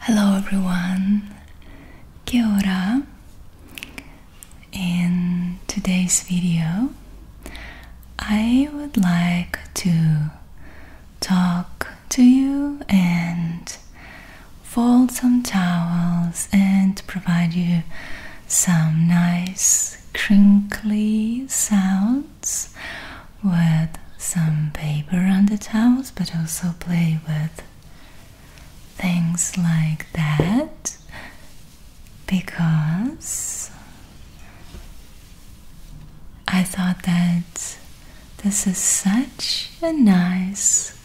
Hello everyone, kia In today's video, I would like to talk to you and fold some towels and provide you some nice crinkly sounds with some paper on the towels, but also play with things like that because I thought that this is such a nice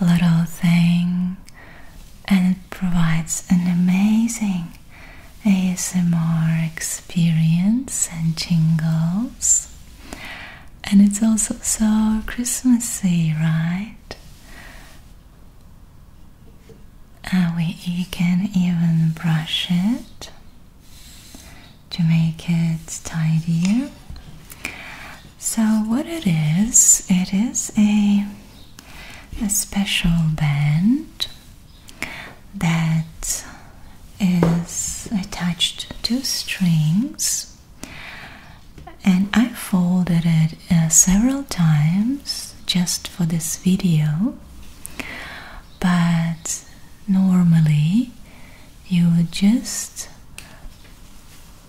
little thing and it provides an amazing ASMR experience and jingles. And it's also so Christmassy, right? Uh, we you can even brush it to make it tidier. So what it is, it is a a special band that is attached to strings and I folded it uh, several times just for this video but normally you would just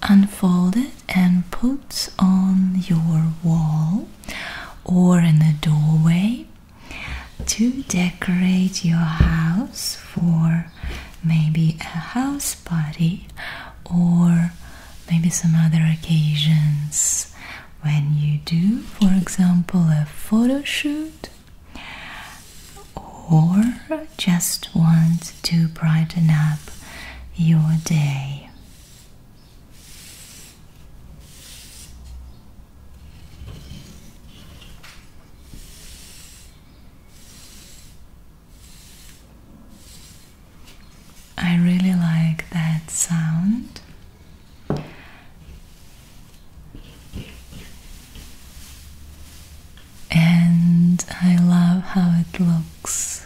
unfold it and put on your wall or in a doorway to decorate your house for maybe a house party or maybe some other occasions when you do, for example, a photo shoot or just want to brighten up your day. I really like that sound. And I love how it looks.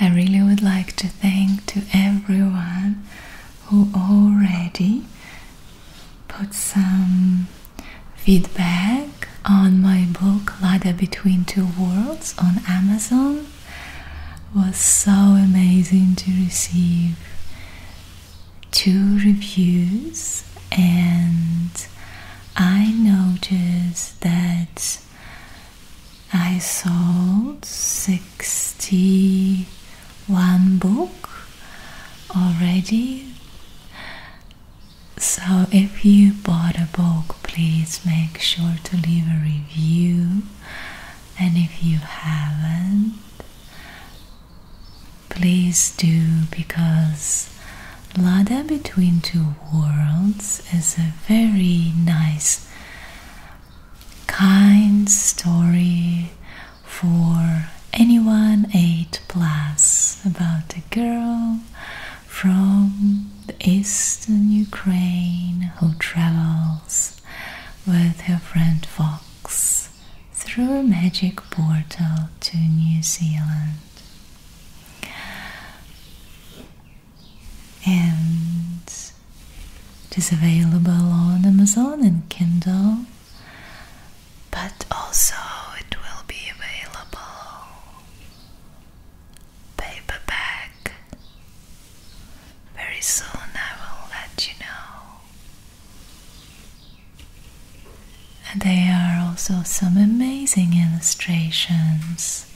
I really would like to thank to everyone who already put some feedback on my book Lada Between Two Worlds on Amazon. was so amazing to receive two reviews, and I noticed that I sold 61 book already. So, if you bought a book, please make sure to leave a review. And if you haven't, Please do because Lada Between Two Worlds is a very nice, kind story for anyone 8 plus about a girl from the eastern Ukraine who travels with her friend Fox through a magic portal to New Zealand. And it is available on Amazon and Kindle, but also it will be available paperback very soon I will let you know. And there are also some amazing illustrations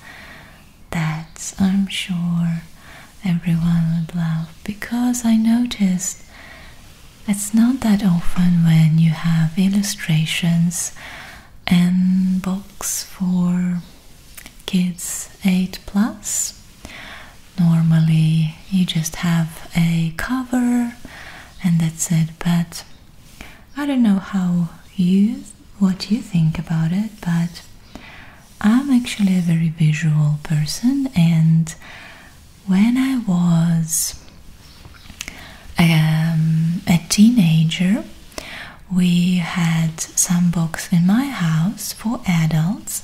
that I'm sure everyone would love because I noticed it's not that often when you have illustrations and books for kids 8 plus Normally, you just have a cover and that's it, but I don't know how you what you think about it, but I'm actually a very visual person, and when I was um, a teenager, we had some books in my house for adults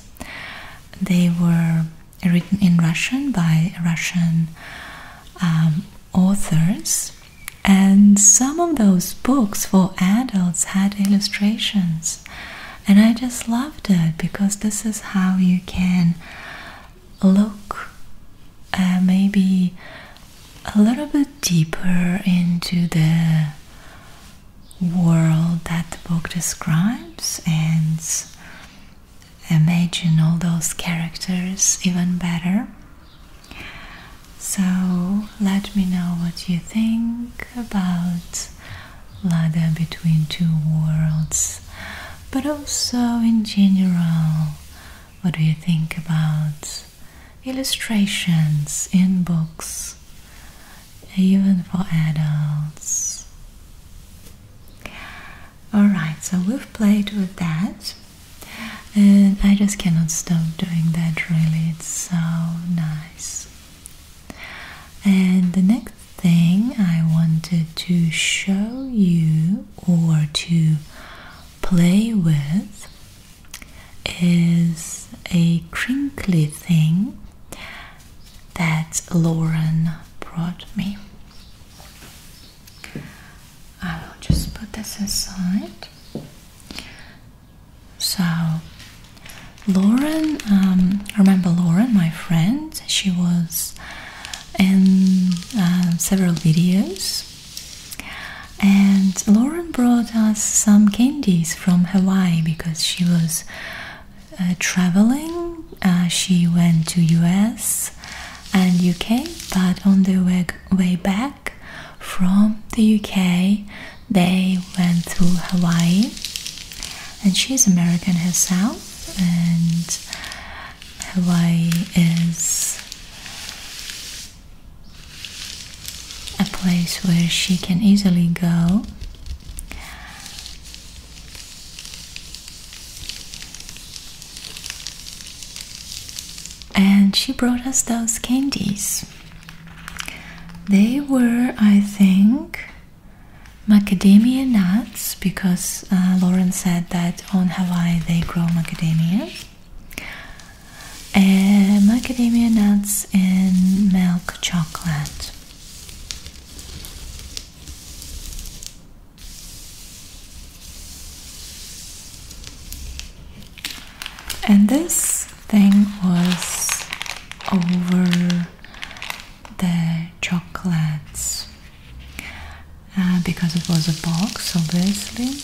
they were written in Russian by Russian um, authors, and some of those books for adults had illustrations. And I just loved it because this is how you can look uh, maybe a little bit deeper into the world that the book describes and imagine all those characters even better. So let me know what you think about Lada between two worlds, but also in general, what do you think about illustrations in books? even for adults. Alright, so we've played with that, and I just cannot stop doing that really, it's so nice. And the next thing I wanted to show you or to play with is a crinkly thing that Lauren brought me. I will just put this aside. So, Lauren, um, remember Lauren, my friend? She was in uh, several videos, and Lauren brought us some candies from Hawaii because she was uh, traveling. Uh, she went to US and UK, but on the way, way back from the UK, they went to Hawaii. And she's American herself, and Hawaii is a place where she can easily go. And she brought us those candies. They were, I think, macadamia nuts because uh, Lauren said that on Hawaii they grow macadamia and um, macadamia nuts and milk chocolate. And this thing was over the chocolates uh, because it was a box, So basically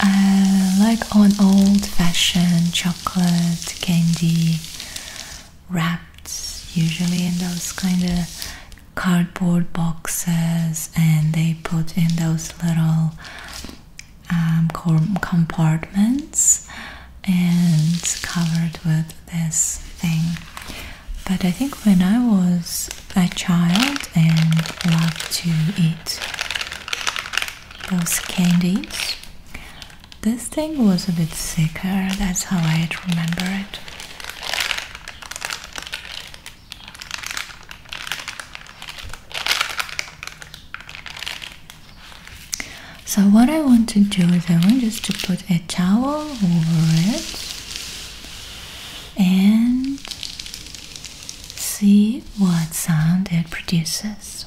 uh, like on old-fashioned chocolate candy wrapped usually in those kind of cardboard boxes and they put in those little um, compartments and covered with this thing but i think when i was a child and loved to eat those candies. This thing was a bit thicker, that's how I remember it. So what I want to do is I want just to put a towel over it and see what sound it produces.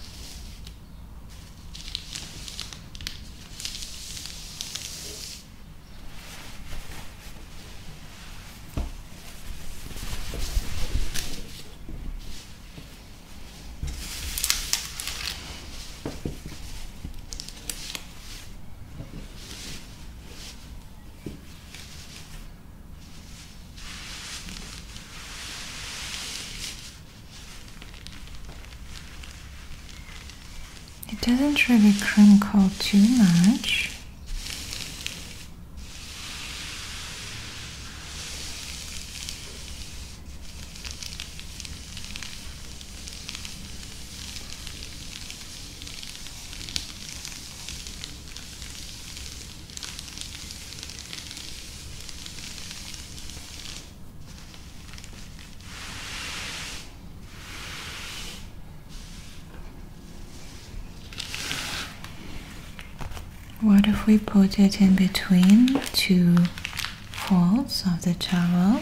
It doesn't really crinkle too much. What if we put it in between two folds of the towel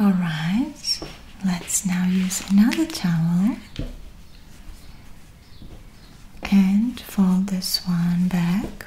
All right, let's now use another towel and fold this one back.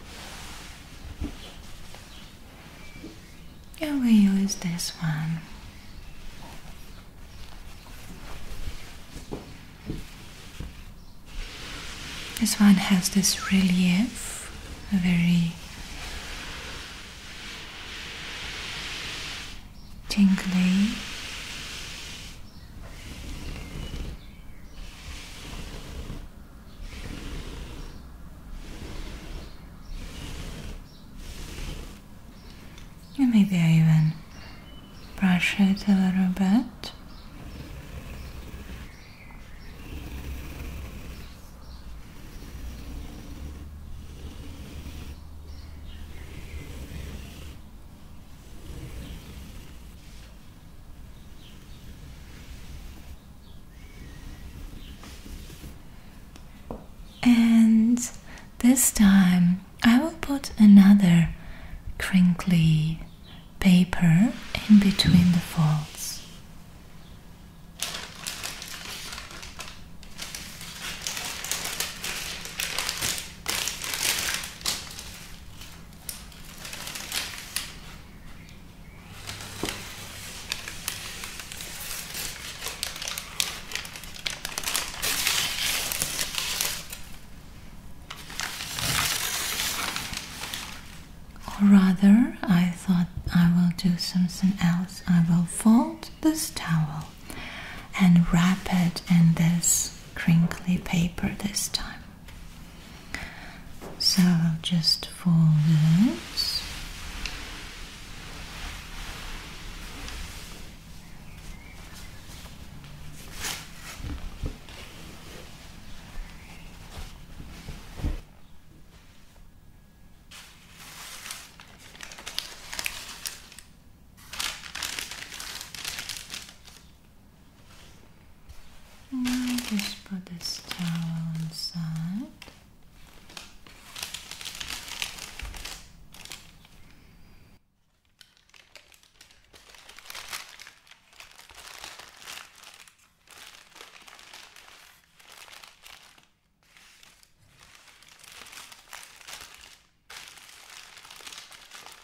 And we use this one. This one has this relief, a very tingly. And maybe I even brush it a little bit. And this time I will put another crinkly paper in between the folds. Or rather, I thought I will do something else. I will fold this towel and wrap it in this crinkly paper this time. So I'll just fold this just put this towel inside.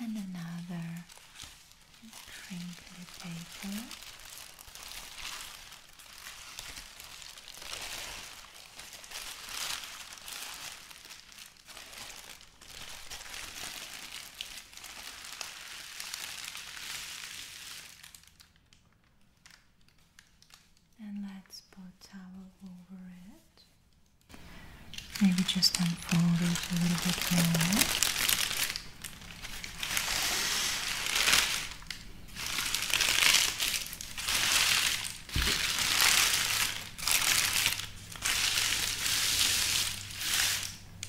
and another crinkly paper. And let's put towel over it. Maybe just unfold it a little bit more.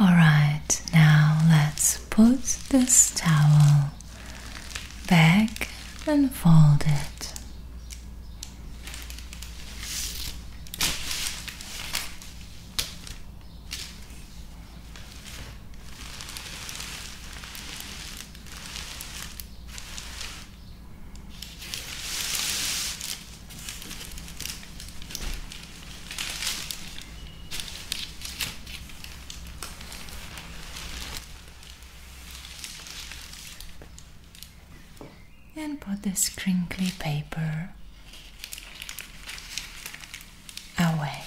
All right, now let's put this towel back and fold it and put this crinkly paper away.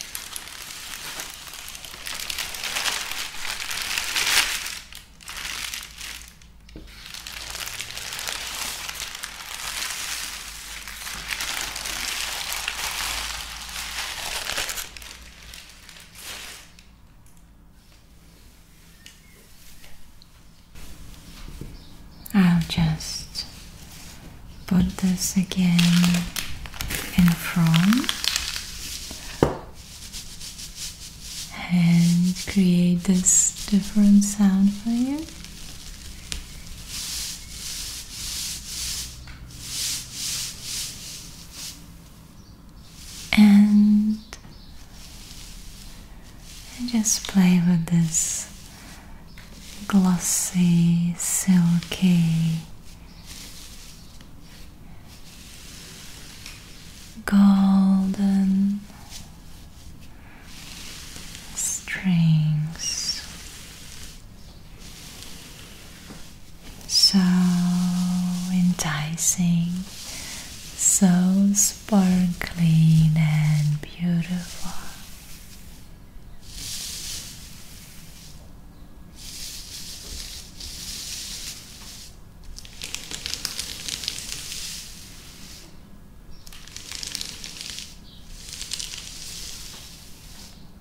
I'll just put this again in front and create this different sound for you and just play with this glossy, silky golden strings so enticing, so sparkling and beautiful.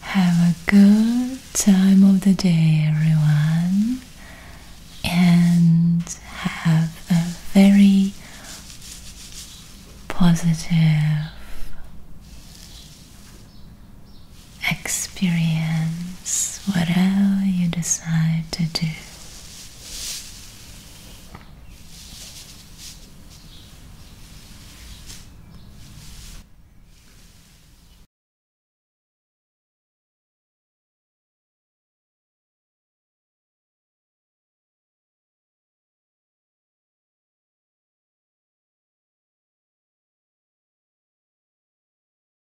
Have a good time of the day, everyone, and have a very positive experience whatever you decide to do.